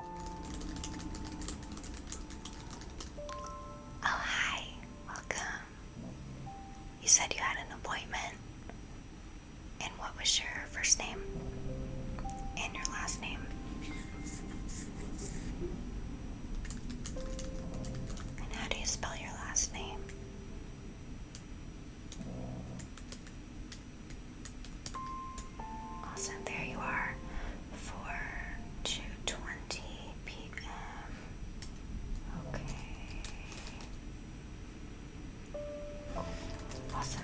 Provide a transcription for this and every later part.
Oh, hi. Welcome. You said you had an appointment. And what was your first name? And your last name? And how do you spell your last name? Awesome, there you are. 4 to p.m. Okay. Awesome.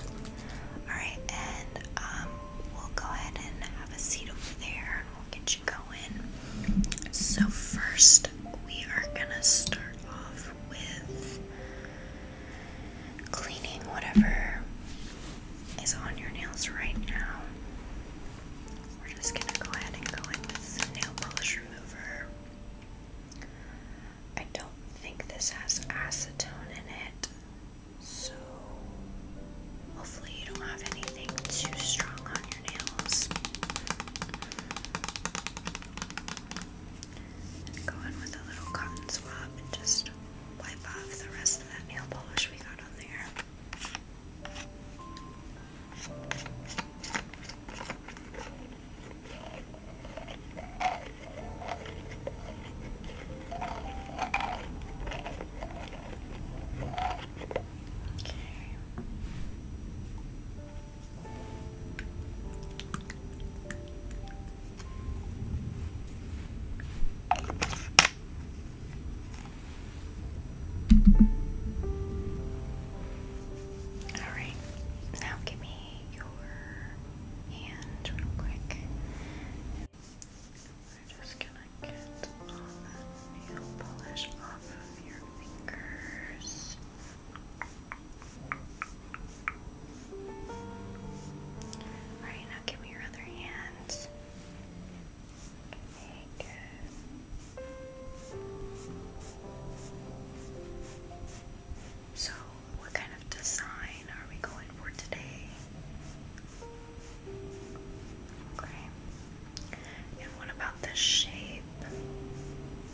Alright, and um, we'll go ahead and have a seat over there and we'll get you going. So, first, we are gonna start off with cleaning whatever is on your nails right now. We're just gonna go ahead and go in with nail polish remover. I don't think this has acetone in it, so hopefully you don't have anything too strong on your nails. Go in with a little cotton swab and just wipe off the rest of that nail polish we got on there. Okay. Alright, now give me your hand real quick. We're just gonna get all that nail polish off of your fingers. Alright, now give me your other hand. Okay, good. So, what kind of design are we going for today? Okay. And what about the shape?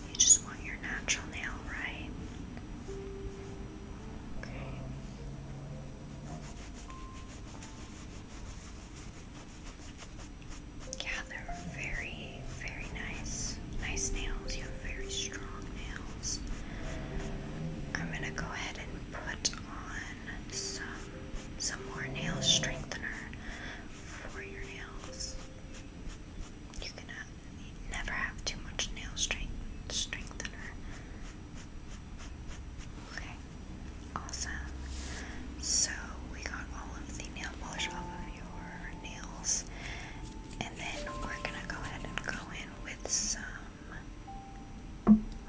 You just want your natural nail, right? Yeah, they're very, very nice. Nice nails. You have very strong nails. I'm gonna go ahead and put on some some more nail strengthener for your nails. You can never have too much nail strength strengthener. Okay, awesome. So we got all of the nail polish off of your nails, and then we're gonna go ahead and go in with some.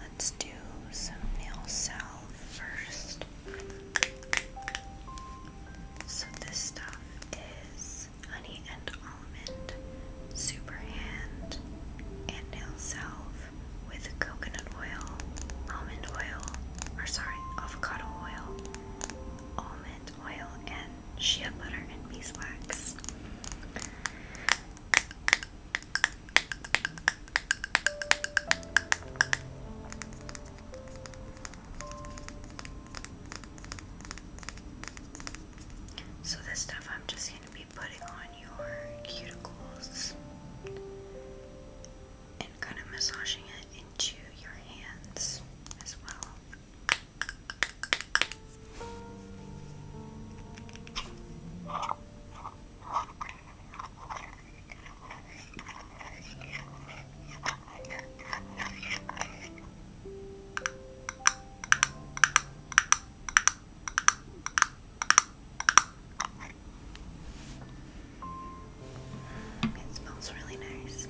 Let's do some nail salve first. So this stuff is Honey and Almond, Superhand, and Nail Salve with coconut oil, almond oil, or sorry, avocado oil, almond oil, and shea butter and beeswax. So, this stuff I'm just be putting on your cuticles and kind of massaging it into your hands as well. It smells really nice.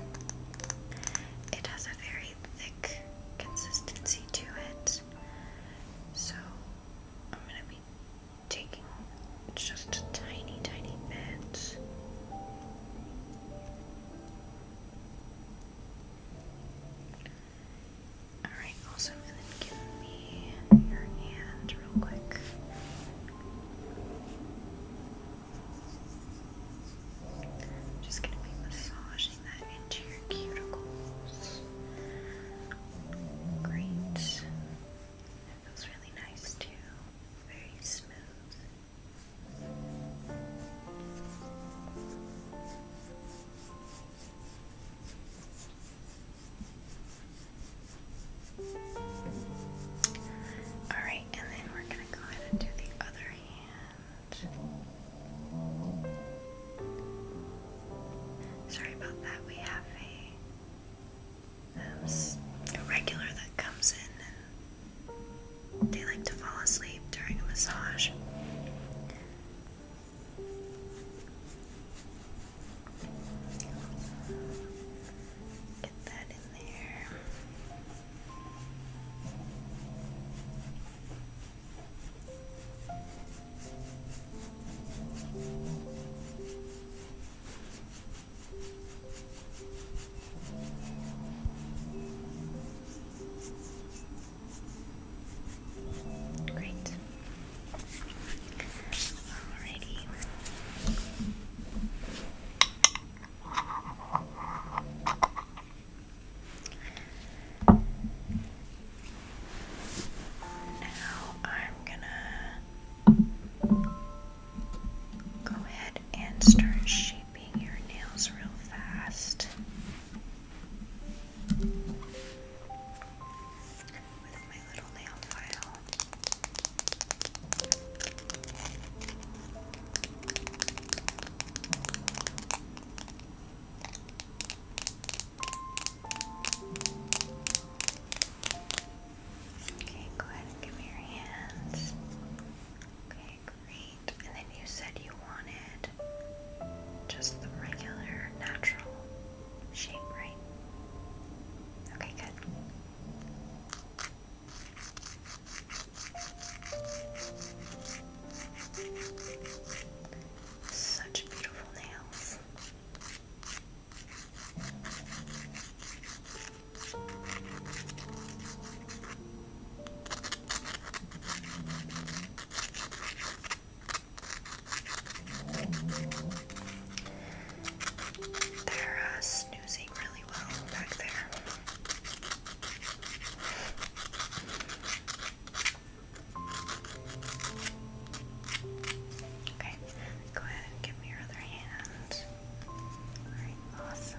It has a very thick consistency to it. So I'm going to be taking just tiny, tiny bit. Alright, awesome. And then give me your hand real quick. just gonna be massaging that into your cuticles. Great. That feels really nice too. Very smooth. Alright, and then we're going to go ahead and do the other hand. Sorry about that, we have a, irregular um, that comes in they like to fall asleep during a massage. Get that in there. Great. Alrighty. Now I'm gonna go ahead and start shaping your nails real fast with my Okay, go ahead and give me your hands. Okay, great. And then you said you wanted just the regular natural shape, right? Okay, good. Such beautiful nails. They're uh, snoozing really well back there. Okay, go ahead and give me your other hand. Alright, awesome.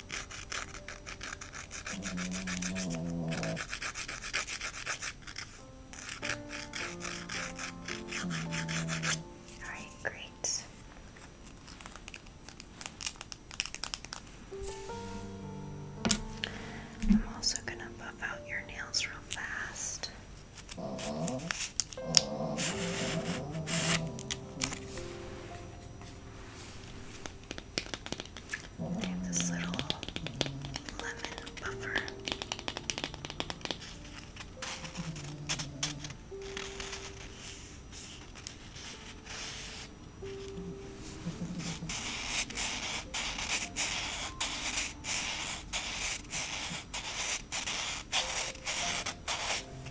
All right, great. I'm also going to buff out your nails real fast. I have this little lemon buffer.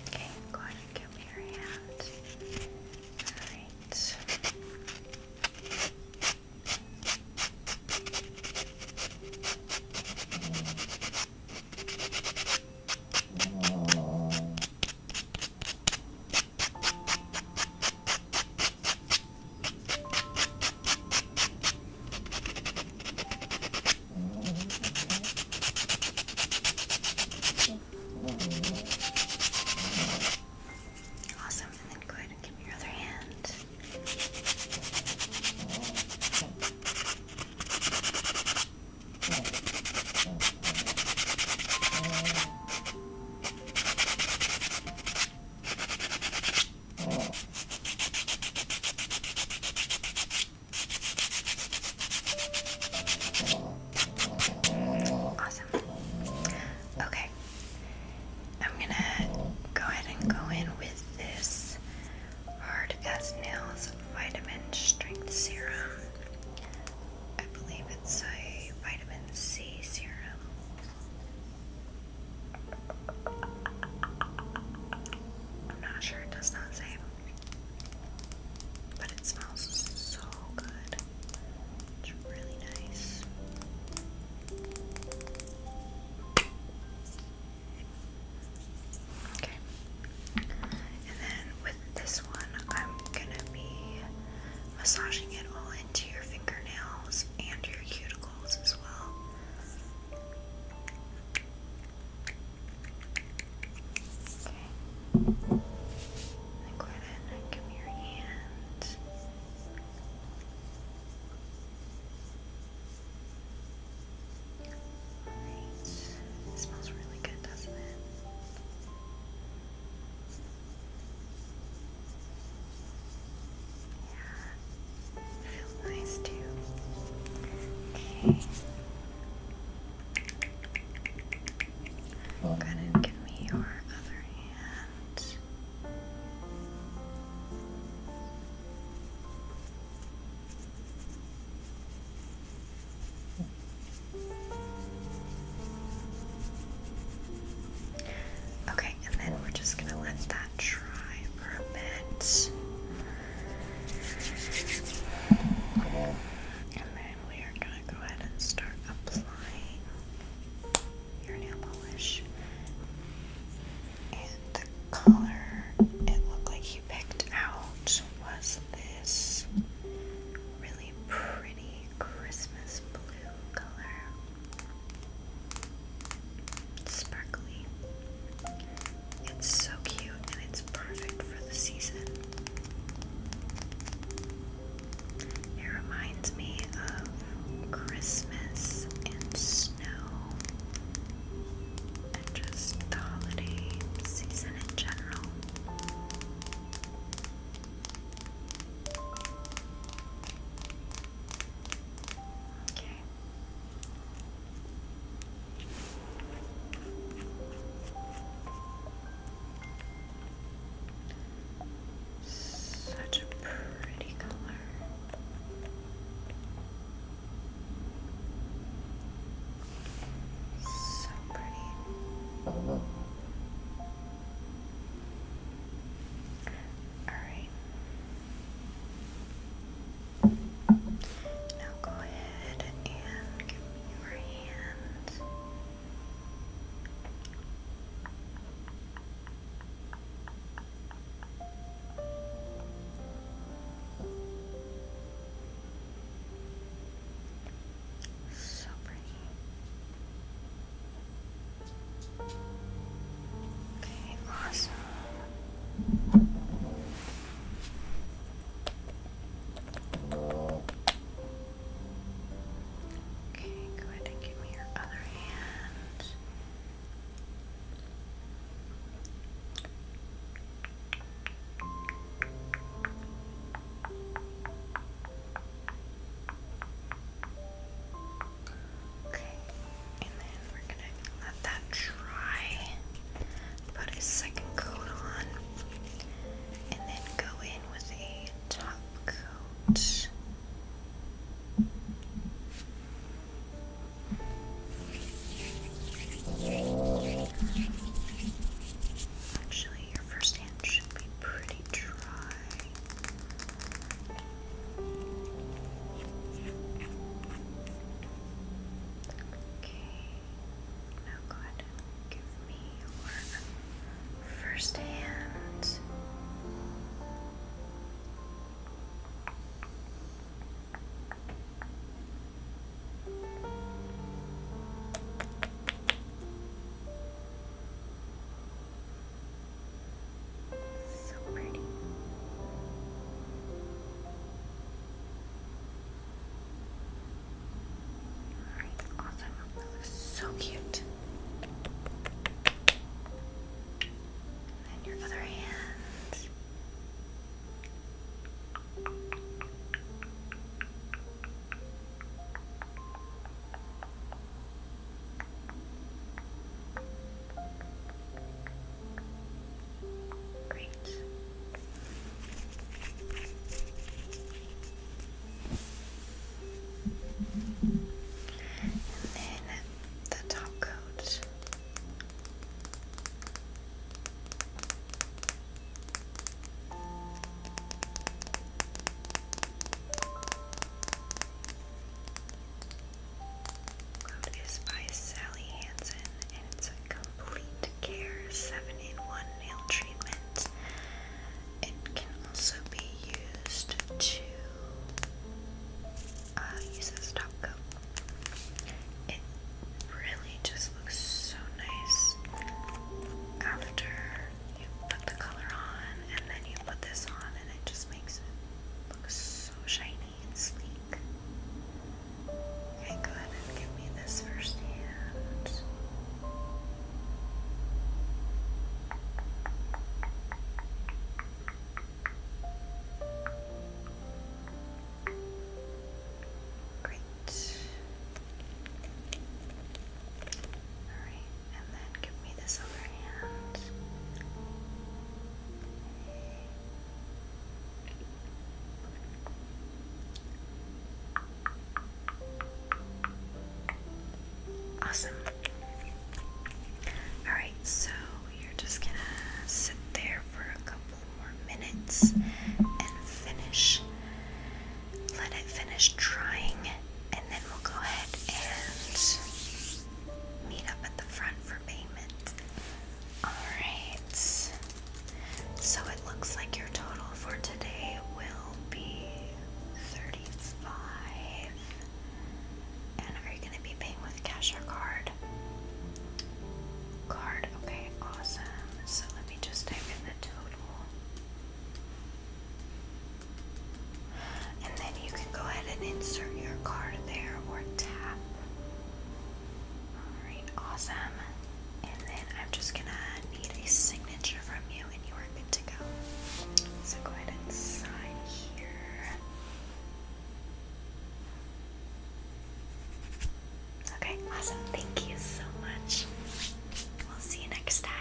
Okay, go ahead and give me your hand. Alright. Awesome, and then go ahead and give me your other hand. Okay. Awesome. Okay. I'm gonna go ahead and go in with this Hard as Nails Vitamin Strength Serum. I believe it's a vitamin C serum. I'm not sure, it does not say. But it smells so good. It's really nice. Okay. And then with this one, I'm gonna be massaging it all into your fingernails and your cuticles as well. Okay. Now go ahead and give me your hand. Alright. It smells really good, doesn't it? Yeah. feels nice too. Okay. Go ahead give me your other hand. Okay, and then we're just gonna let that dry for a bit. And then we are going to go ahead and start applying your nail polish. And the color it looked like you picked out was this really pretty Christmas blue color. Sparkly. It's so cute and it's perfect for the season. It reminds me of Christmas and snow and just the holiday season in general. Okay. Such a pretty color. So pretty. All right. Now go ahead and give me your hand. So pretty. Okay, awesome. Okay, go ahead and give me your other hand. Okay, and then we're gonna let that dry, put a second coat on, and then go in with a top coat. Actually, your first hand should be pretty dry. Okay. Now, oh, God, give me your first hand. So pretty awesome. so cute. And your other hand. Great. And then the top coat. Cloud is by Sally Hansen and it's a complete care 7-in-1 nail treatment. It can also be used to uh, use as top coat. It really just looks so nice after you put the color on and then you put this on and it just makes it look so shiny and Okay, go ahead and give me this first hand. Great. Alright, and then give me this other hand. Awesome. Alright, so you're just gonna sit there for a couple more minutes and finish. Let it finish drying, and then we'll go ahead and meet up at the front for payment. Alright. So it looks like your total for today will be 35. And are you going to be paying with cash or card? Card, okay, awesome. So let me just type in the total. And then you can go ahead and insert your card there or tap. Alright, awesome. And then I'm just gonna need a signature from you, and you are good to go. So go ahead and sign here. Okay, awesome. Thank you so much. We'll see you next time.